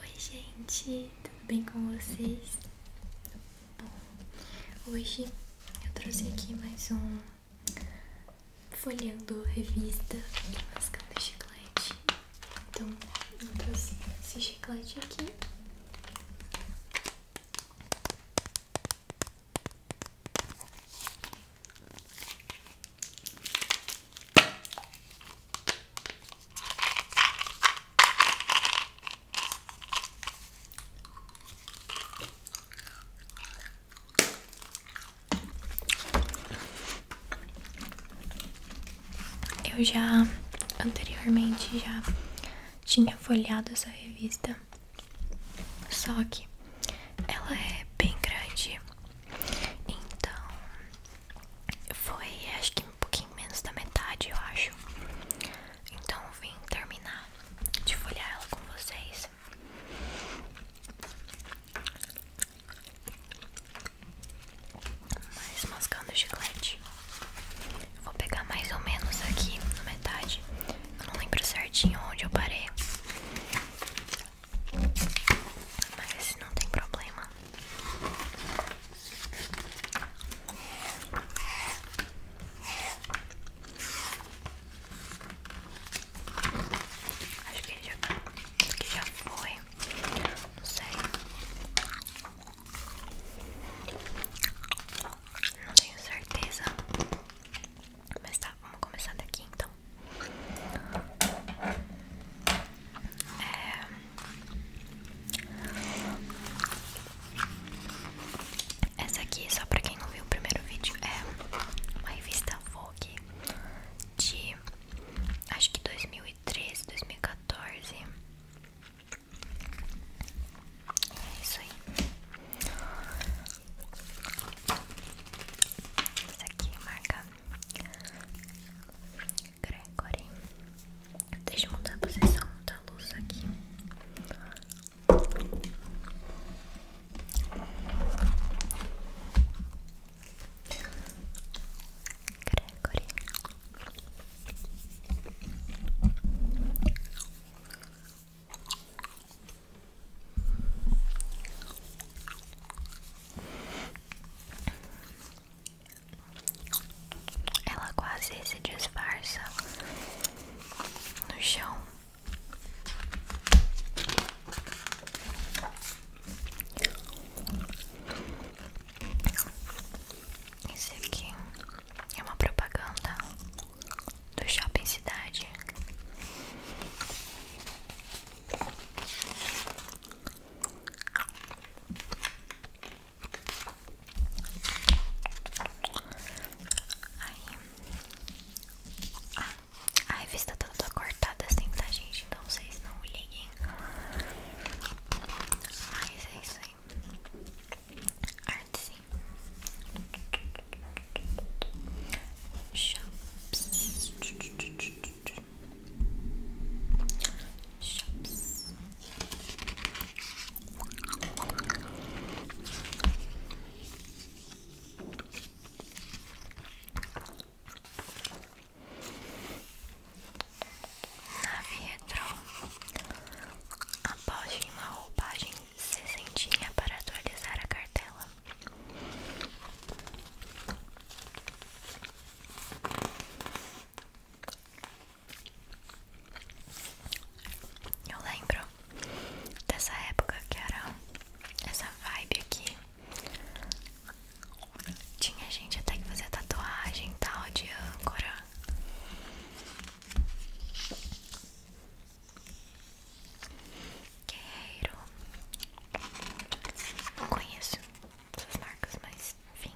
Oi gente, tudo bem com vocês? Bom, hoje eu trouxe aqui mais um folhando revista e mascando chiclete. Então eu trouxe esse chiclete aqui. Eu já anteriormente já tinha folhado essa revista, só que ela é bem grande, então foi acho que um pouquinho menos da metade, eu acho. Então vim terminar de folhear ela com vocês. mas mascando o chiclete. Vou pegar mais ou menos aqui na metade. Eu não lembro certinho onde eu parei. Mas não tem problema. Acho que já, acho que já foi. Não sei. Não tenho certeza. Mas tá, vamos começar daqui então. É... Essa aqui, só pra quem não viu o primeiro vídeo, é uma revista Vogue de acho que dois dois mil e mil e É isso aí. Essa aqui marca Gregory Deixa eu mudar a posição da luz aqui ela quase se disfarça no chão. Esse aqui é uma propaganda do Shopping Cidade. Aí. Ah, a revista tá toda cortada assim, tá, gente? Então vocês não liguem. Mas é isso aí. Arte sim. Shops. Shops. Na Vietron, aposte em uma roupagem sessentinha para atualizar a cartela. Eu lembro dessa época que era essa vibe aqui. Tinha gente até que fazia tatuagem tal de âncora guerreiro Não conheço essas marcas, mas enfim.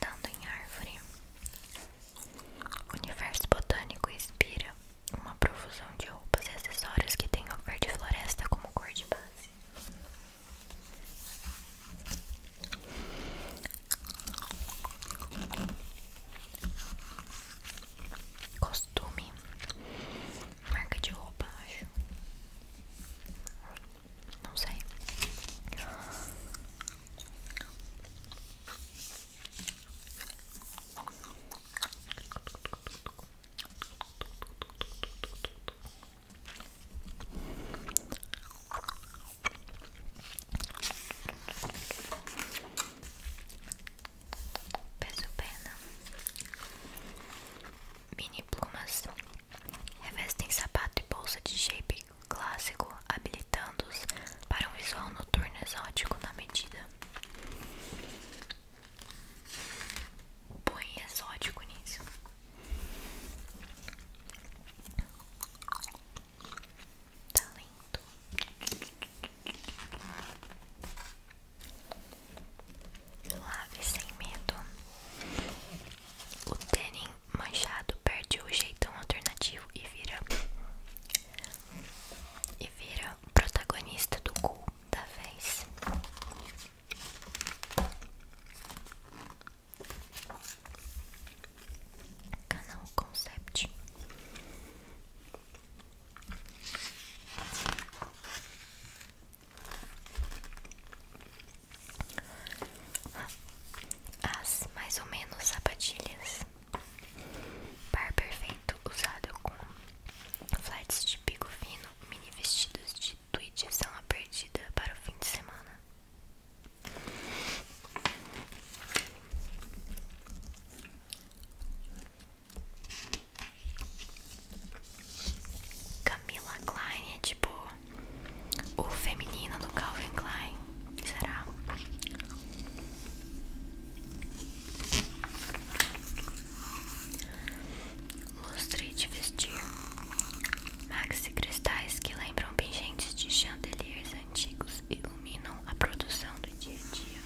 Dando em árvore. O universo botânico inspira uma profusão de roupas e acessórios que tem o verde floresta como cor de base. Costume Marca de roupa, acho. Não sei peso pena, mini plumas, revestem sapato e bolsa de shape clássico, habilitando-os para um visual noturno exótico na medida. Põe exótico nisso. Tá lindo. Lave sem medo. O tênis manchado perde o jeitão alternativo e vira e vira o protagonista do cu da vez. Canal Concept as mais ou menos sapatilhas. Par perfeito usado com flats de pico fino, mini vestidos de tweed são a perdida para o fim de semana. Camila Klein é tipo o feminino do Calvin Klein. Será? Lustre de vestir. Maxi cristais que lembram pingentes de chandeliers antigos iluminam a produção do dia a dia.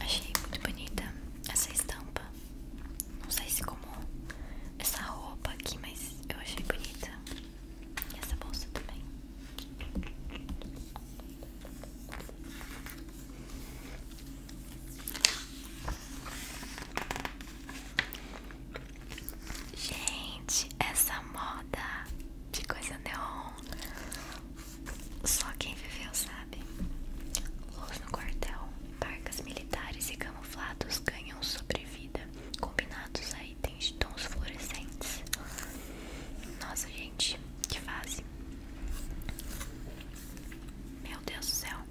Achei muito bonita essa estampa. Não sei se como essa roupa aqui, mas eu achei bonita. E essa bolsa também. Gente, essa moda de coisa neon Só quem viveu sabe Luz no quartel, barcas militares e camuflados ganham sobrevida Combinados a itens de tons fluorescentes Nossa gente, que fase Meu Deus do céu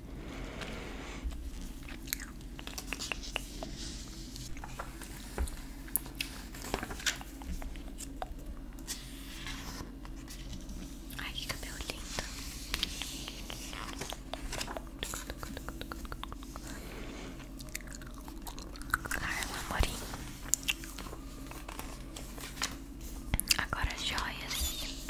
Ai, que cabelo lindo. Carla Morim. Agora joias.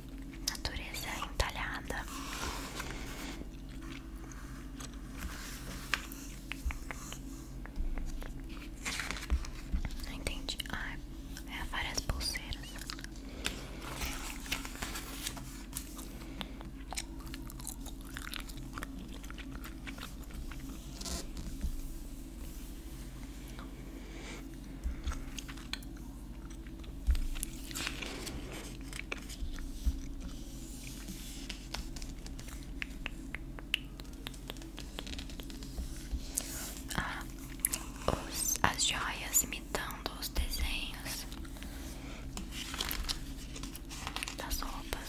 natureza entalhada. Não entendi. Ah, é várias pulseiras. Ah, as joias imitando os desenhos das roupas.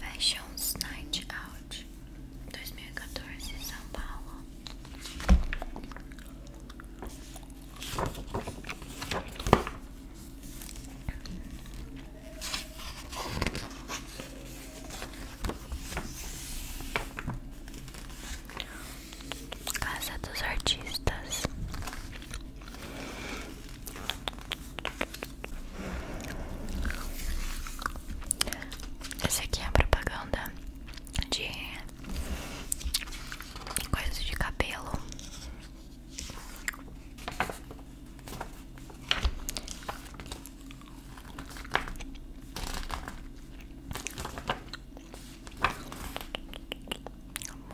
Fashion Night Out dois mil e 2014 São Paulo Casa dos Artistas essa aqui é a propaganda de coisas de cabelo.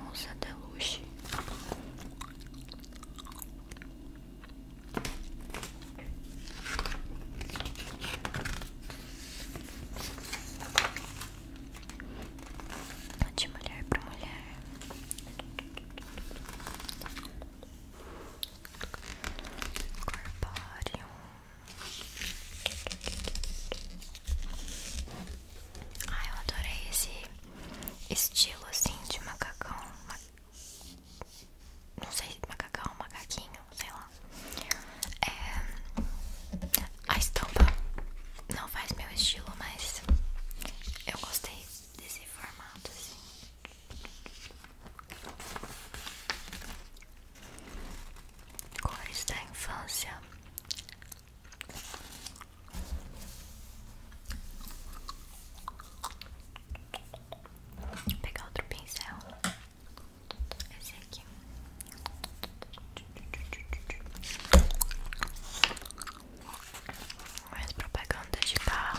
Moça Deluxe de mulher para mulher. Corpório. Ah, eu adorei esse estilo assim de macacão. Não sei, macacão, macaquinho, sei lá. É, a estampa não faz meu estilo, mas eu gostei desse formato assim. Cores da infância pegar outro pincel. Esse aqui. Mais propaganda de barro.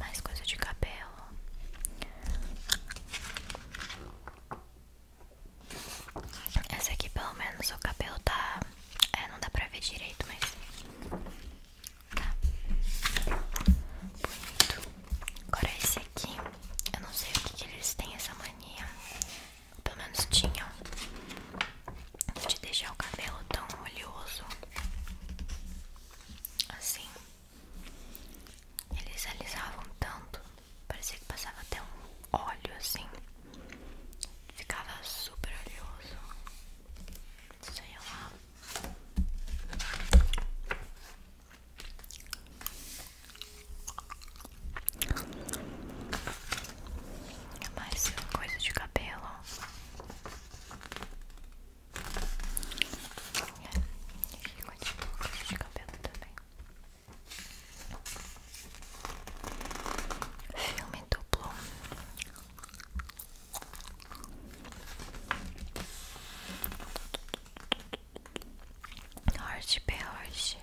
Mais coisa de cabelo. esse aqui, pelo menos, o cabelo tá. É, não dá pra ver direito, mas. Tá. Agora, esse aqui. Eu não sei o que, eles têm essa mania companhia. Ou pelo menos tinham. De deixar o cabelo tão oleoso. Assim. Eles alisavam tanto. Parecia que passava até um óleo assim. Ficava super oleoso. Sei lá. É mais coisa de cabelo. É, continua coisa de cabelo também. Filme duplo. Horst P. Horst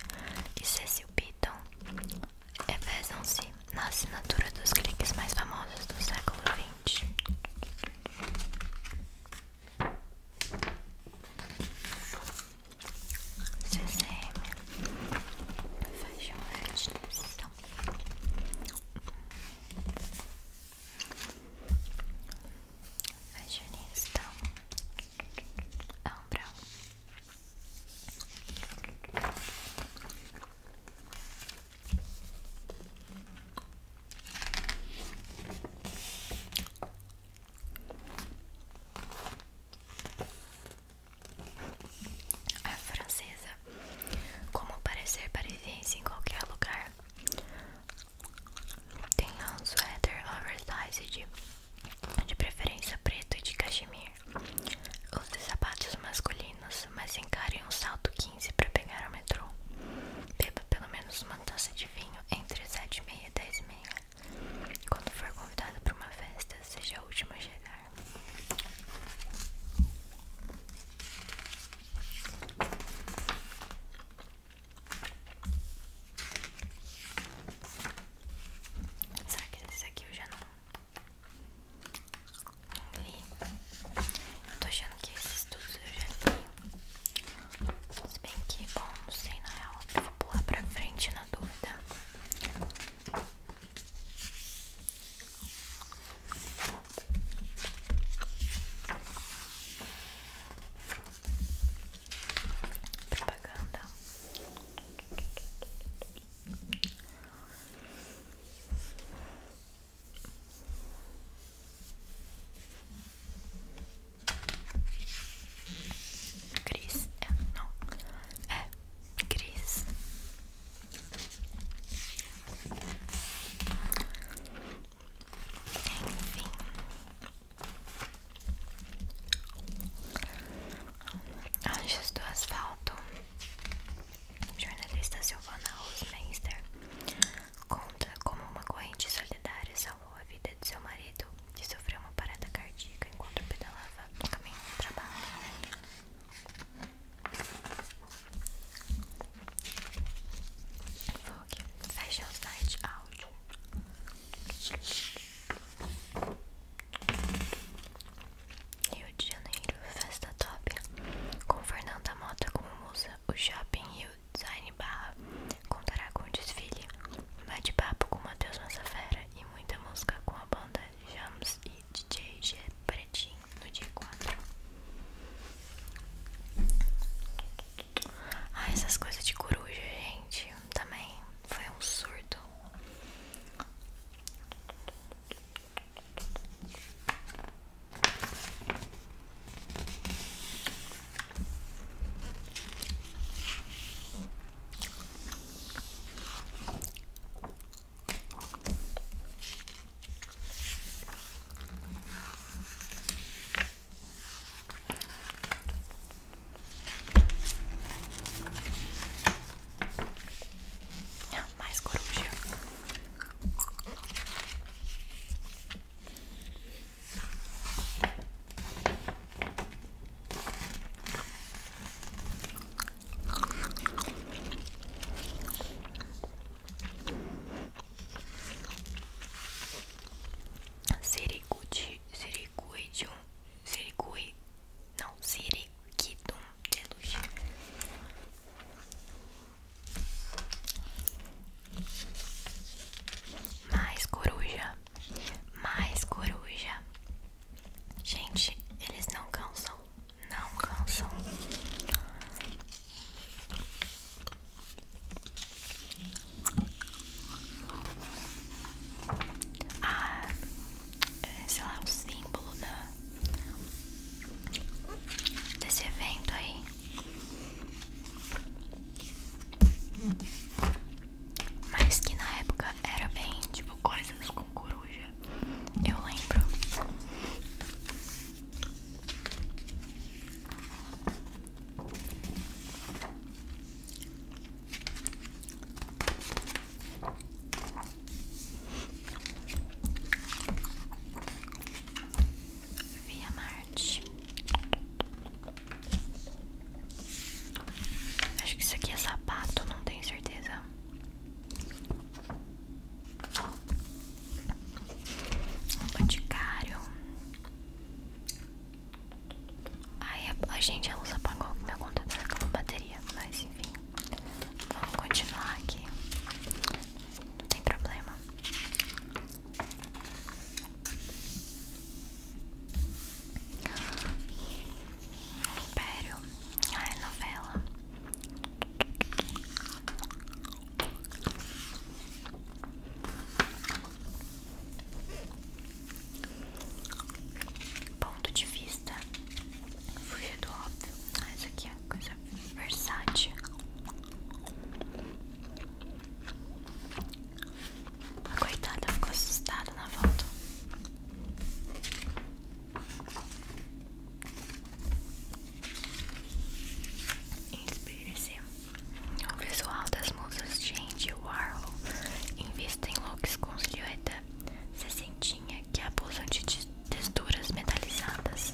e Cecil Beaton revezam-se é, na assinatura dos cliques mais famosos do século XX. CCM Fashion Fitness Fashionista ah, A francesa, como parecer parisiense em qualquer lugar, Tenha um sweater oversized de, de preferência preto e de cachemir. Use sapatos masculinos, mas encare um salto 15 para pegar o metrô. Beba pelo menos uma taça de vinho entre 7 e meia e 10 e meia. Quando for convidado para uma festa, seja o último a chegar. Será que esses aqui eu já não, li? Eu tô achando que esses todos eu já li. Se bem que, bom, não sei na real. vou pular pra frente na dúvida propaganda. Cris, é, não, é Cris. Anjos do Asfalto, jornalista Silvana Rosmeister, conta como uma corrente solidária salvou a vida de seu marido, que sofreu uma parada cardíaca enquanto pedalava no caminho do trabalho. Dog. Fecha o site Rio de Janeiro, festa top. Com Fernanda Mota como musa, o shopping Rio Design Barra contará com desfile, bate-papo com Matheus Massafera e muita música com a banda Jams e DJ G Pretinho no dia 4. Ah, essas coisas de coruja, gente, também foi um surdo. Ah, mais coruja. Siriguti, Siriguidium, Sirigui, não, Siriguidum de é Mais coruja, mais coruja. Gente, eles não cansam, não cansam. Ah, é, sei lá, o símbolo da, desse evento aí. Mas que na época era bem tipo coisas com coruja. Eu lembro. Via Marte. Acho que isso aqui é sapato, não tenho certeza. Boticário. Ai, a, gente, a luz apagou. Meu computador acabou a bateria. Mas enfim, vamos continuar aqui. Não tem problema. Império. Ai, novela. Ponto de vista Fugir do óbvio ah, aqui é coisa versátil A coitada ficou assustada na volta Inspire-se. O visual das musas de Andy Warhol invista em looks com silhueta sentinha que é abusam de texturas metalizadas.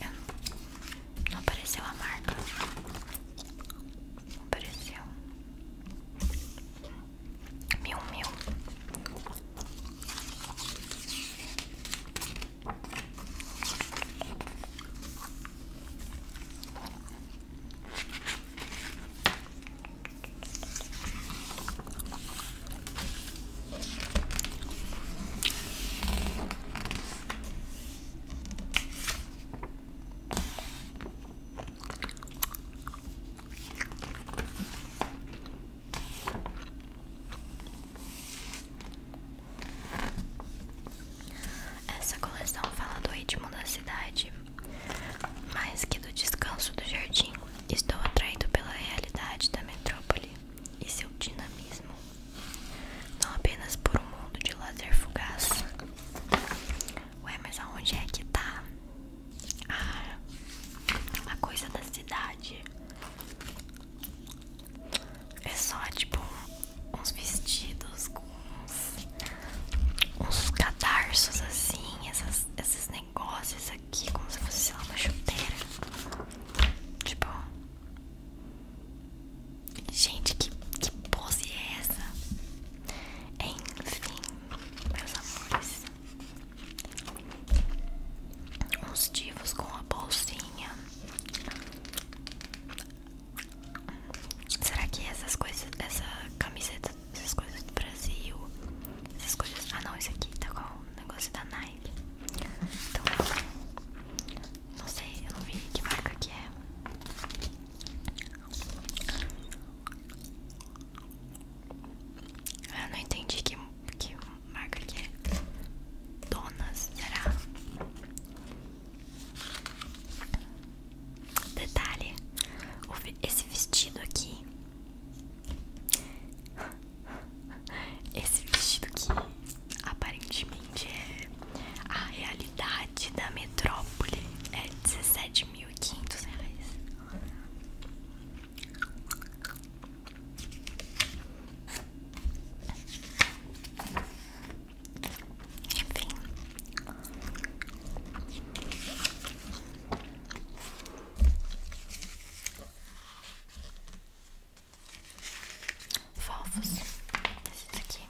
É? Não apareceu a marca. Não apareceu. Mil, mil. Essa coleção fala do ritmo da cidade mais que do descanso do jardim, estou atraído pela realidade da metrópole e seu dinamismo, não apenas por um mundo de lazer fugaz. Ué, mas aonde é que tá ah, a coisa da cidade? É só tipo uns vestidos com uns, uns cadarços assim, essas, esses negócios aqui, como se fosse sei lá, uma chuteira. Tipo, gente, que, que pose é essa? Enfim, meus amores, uns divos com a bolsinha. Será que essas coisas, essa camiseta, essas coisas do Brasil, essas coisas. Ah não, isso aqui tá com o negócio da Nike. Então, não sei, eu não vi que marca que é. Eu não entendi que marca que é. Donas, será? Detalhe: esse vestido aqui. Esse vestido que aparentemente é a realidade da metrópole é mil quinhentos reais. Enfim. Fofos. Esses aqui.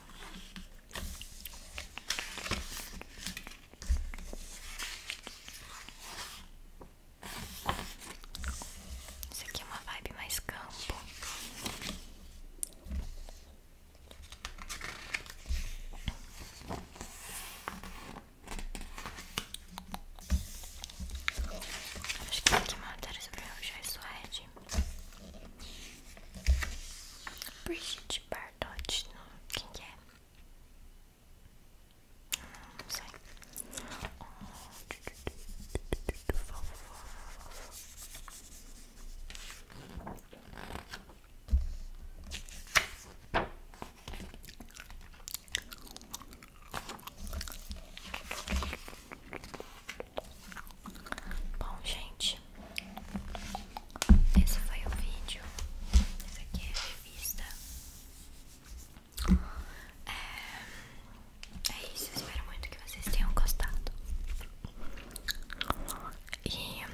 Isso aqui é uma vibe mais campo. Acho que tem que uma matéria sobre o Jair Suede. Brigitte Bardot, não. quem que é? Não, não sei. Oh. Vovó, vovó, vovó. Bom, gente, esse foi o vídeo. Essa aqui é revista. É, é isso, espero muito que vocês tenham gostado. E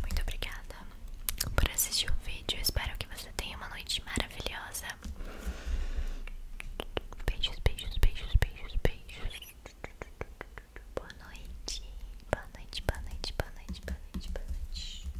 muito obrigada por assistir o vídeo. Espero que você tenha uma noite maravilhosa. Beijos, beijos, beijos, beijos, beijos. Boa noite. Boa noite, boa noite, boa noite, boa noite, boa noite.